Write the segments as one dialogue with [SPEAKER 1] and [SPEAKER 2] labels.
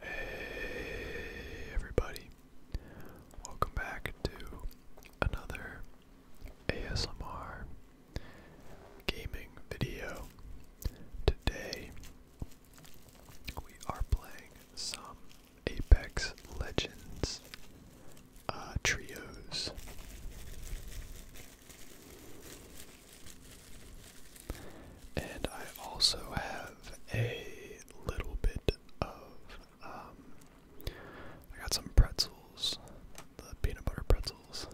[SPEAKER 1] Hey everybody, welcome back to another ASMR gaming video. Today we are playing some Apex Legends uh, trios. And I also have a little bit of, um, I got some pretzels, the peanut butter pretzels.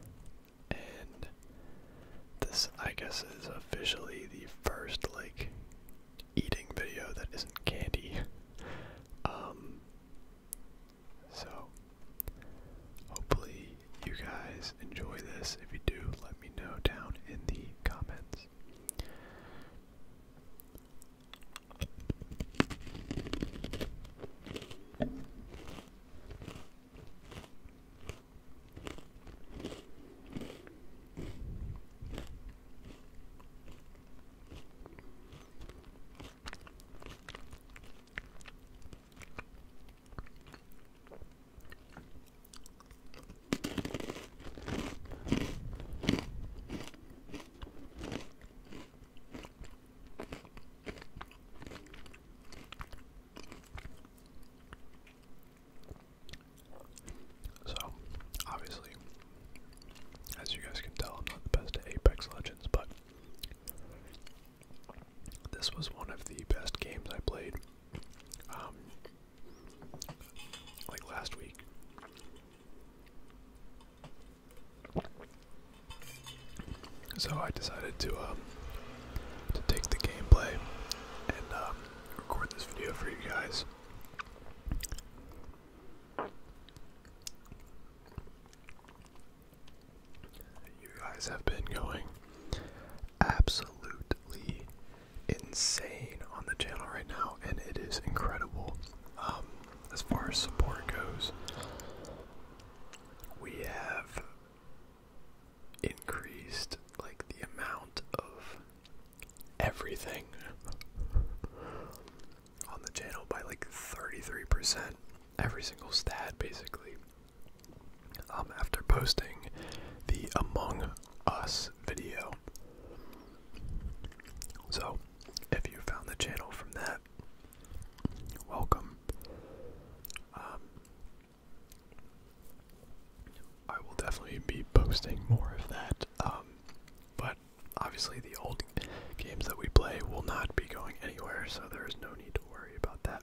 [SPEAKER 1] And this, I guess, is officially the first, like, eating video that isn't candy. Um, so, hopefully you guys enjoy this. If you do, let me know down in the comments. So, obviously, as you guys can tell, I'm not the best Apex Legends, but this was one of the best games I played. Um, like last week. So I decided to um, to take the gameplay and um, record this video for you guys. You guys have been going absolutely insane on the channel right now, and it is incredible. Um, as far as support goes, we have increased like the amount of everything on the channel by like 33%. Every single stat, basically. Um, after posting the Among Us video. So, if you found the channel from that, welcome. Um, I will definitely be posting more of that, um, but obviously the old games that we play will not be going anywhere, so there is no need to worry about that.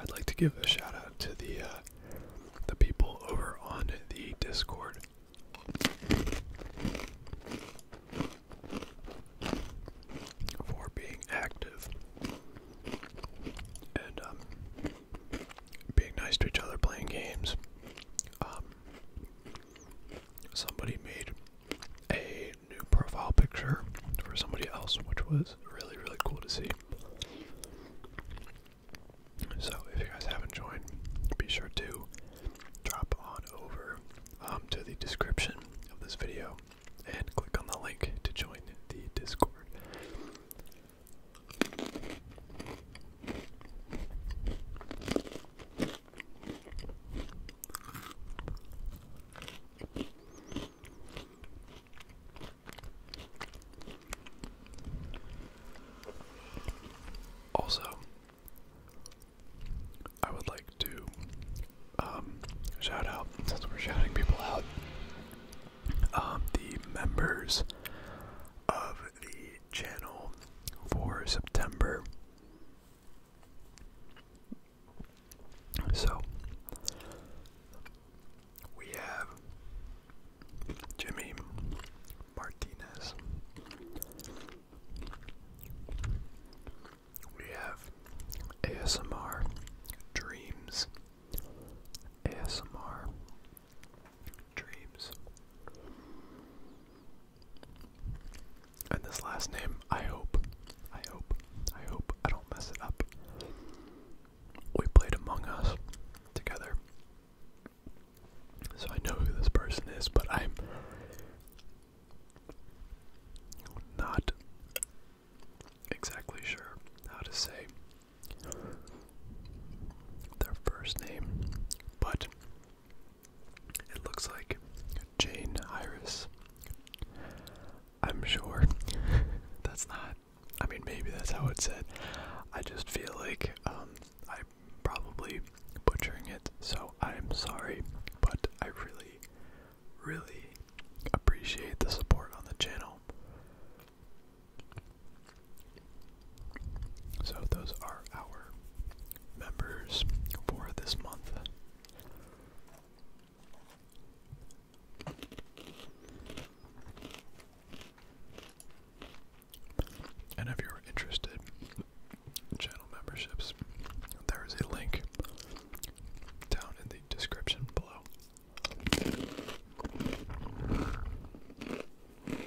[SPEAKER 1] I'd like to give a shout out to the uh, the people over on the Discord. For being active, and um, being nice to each other, playing games. Um, somebody made a new profile picture for somebody else, which was really, really cool to see. So, if you guys haven't joined, be sure to drop on over um, to the description of this video and click on the link to join the Discord. Also, I would like to um, shout out, since we're shouting people out, um, the members of the channel for September. So we have Jimmy Martinez. We have ASMR Dreams, ASMR Dreams. And this last name, I hope, I hope, I hope I don't mess it up. We played Among Us together. So I know who this person is, but I'm not exactly sure how to say their first name, but it looks like Jane Iris. I'm sure that's not. I mean, maybe that's how it's said. I just feel like I'm um, probably butchering it, so I'm sorry. But I really, really appreciate the support on the channel. So those are our members for this month. And if you're interested in channel memberships, there is a link down in the description below.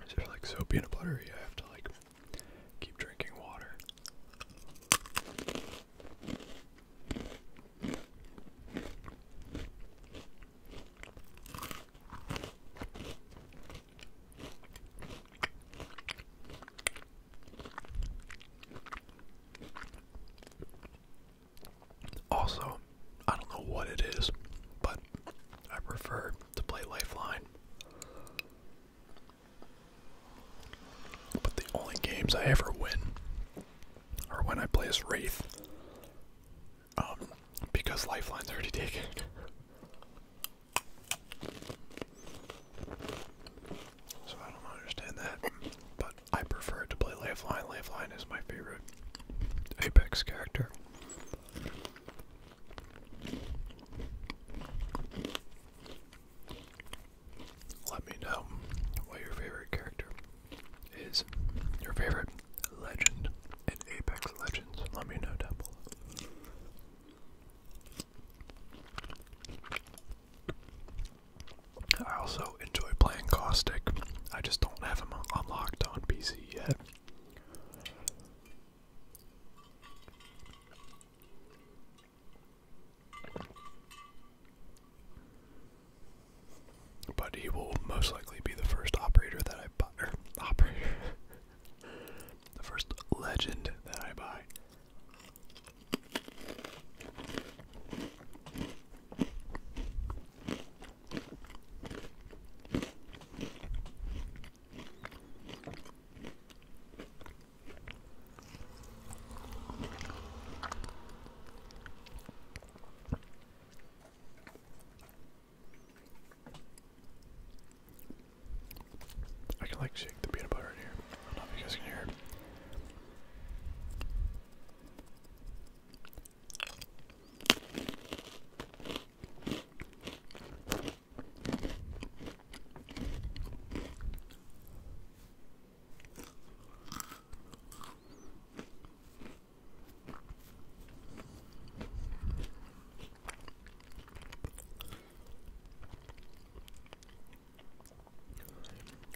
[SPEAKER 1] It's like soapy and buttery. I have to like keep drinking water. Also, I don't know what it is, but I prefer to play Lifeline. But the only games I ever win are when I play as Wraith. Um, because Lifeline's already taken. So I don't understand that, but I prefer to play Lifeline. Lifeline is my favorite Apex character. Let me know what your favorite character is. Your favorite legend in Apex Legends. Let me know down below. I also enjoy playing Caustic. I just don't have him unlocked on PC yet. But he will most likely be the first operator that I buy. operator. the first legend that I buy. I can like shake the peanut butter here. I don't know if you guys can hear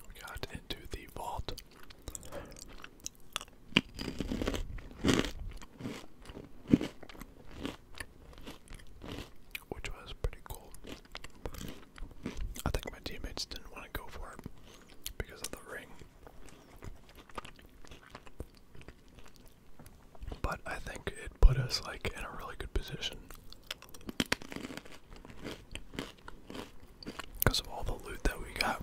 [SPEAKER 1] we got into the vault. Which was pretty cool. I think my teammates didn't want to go for it because of the ring. But I think it put us like in a really good position. Because of all the loot that we got.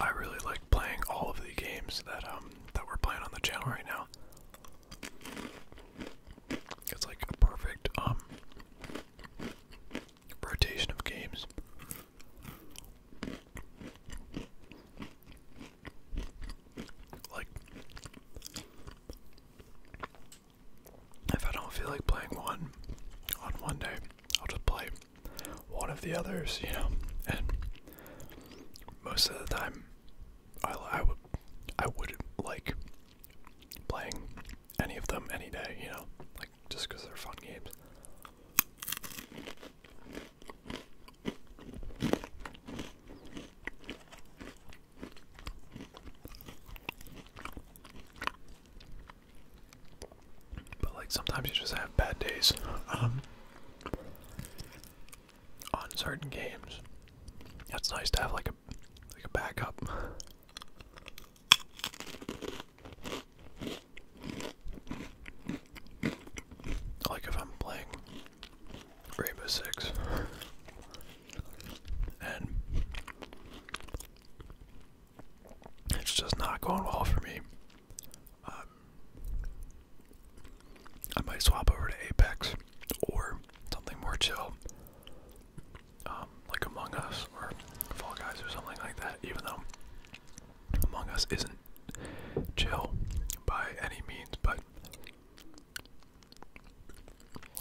[SPEAKER 1] I really like playing all of the games that um, that we're playing on the channel right now. It's like perfect um, rotation of games. Like, if I don't feel like playing one on one day, I'll just play one of the others, you know. And most of the time, I, I would I would like playing any of them any day, you know, like just because they're fun games. But like sometimes you just have bad days um, on certain games. That's nice to have like like a backup. Like if I'm playing Rainbow Six and it's just not going well for me. Um, I might swap over to Apex or something more chill. Um, like Among Us or Fall Guys or something like that, even though Among Us isn't chill by any means, but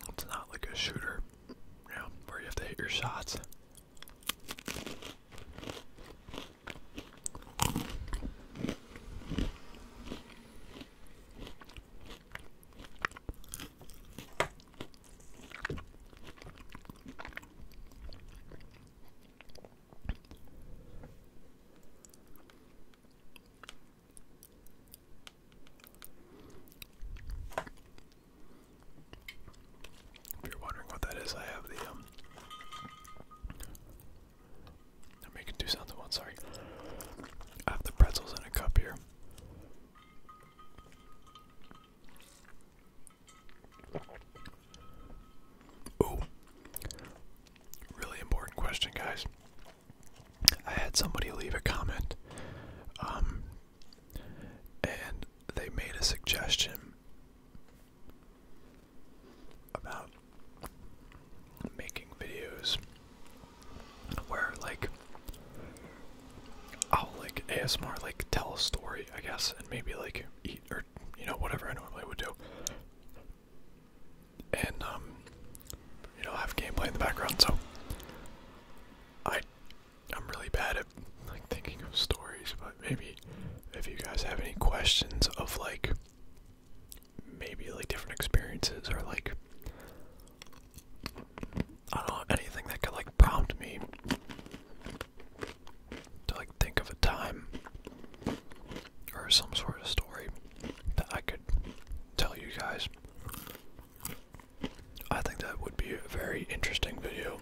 [SPEAKER 1] it's not like a shooter, you know, where you have to hit your shots. If you're wondering what that is, I have the um I'm making two sounds at once, sorry. I have the pretzels in a cup here. Oh, really important question, guys. I had somebody leave a comment, um, and they made a suggestion about making videos where like I'll like ASMR like tell a story, I guess, and maybe like eat or you know whatever I normally would do, and um, you know have gameplay in the background. So I I'm really bad at like thinking of stories, but maybe if you guys have any questions of like maybe like different experiences or like I don't know anything that could like prompt me to like think of a time or some sort of story that I could tell you guys. I think that would be a very interesting video.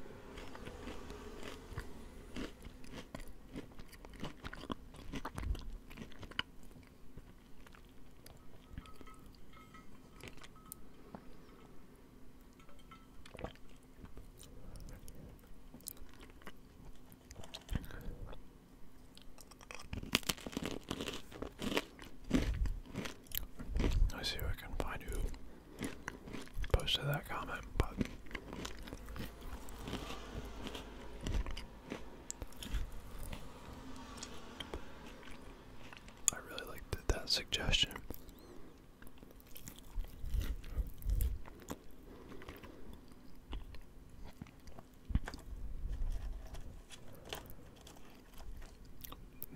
[SPEAKER 1] I see if I can find you. posted that comment, but I really like that, that suggestion.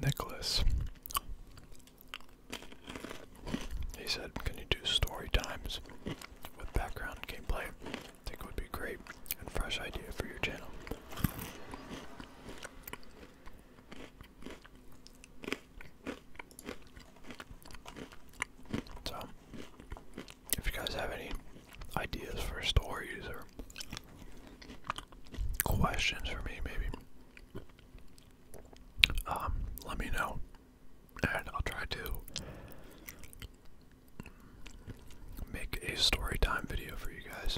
[SPEAKER 1] Nicholas. He said, Can you do story times with background gameplay? I think it would be great and fresh idea for your channel. So, if you guys have any ideas for stories or questions for me, maybe, um, let me know, and I'll try to make a story time video for you guys.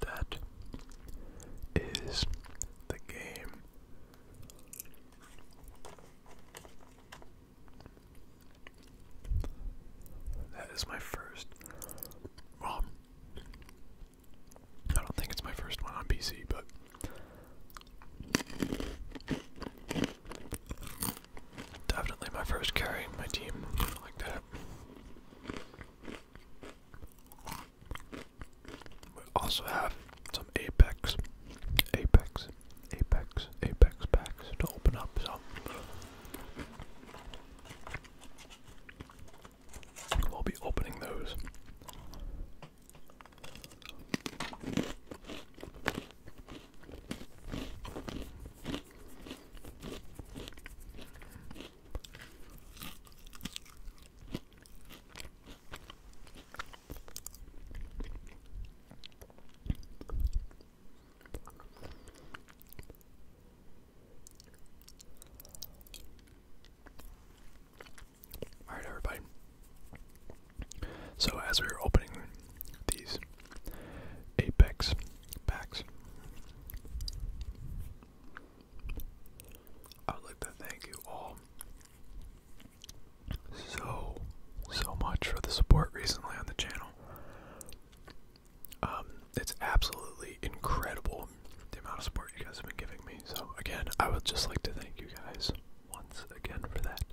[SPEAKER 1] That is the game. That is my first. Well, I don't think it's my first one on PC, but. Definitely my first carry, in my team, like that. We also have some Apex, Apex, Apex, Apex packs to open up, so i will be opening those. Alright, everybody. So, as we are opening these Apex packs, I would like to thank you all so, so much for the support recently on the channel. Um, it's absolutely incredible the amount of support you guys have been giving me. So again, I would just like to thank you guys once again for that.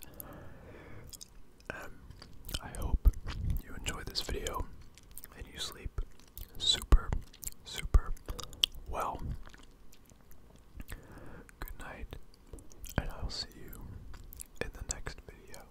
[SPEAKER 1] Um, I hope you enjoy this video and you sleep super, super well. Good night, and I'll see you in the next video.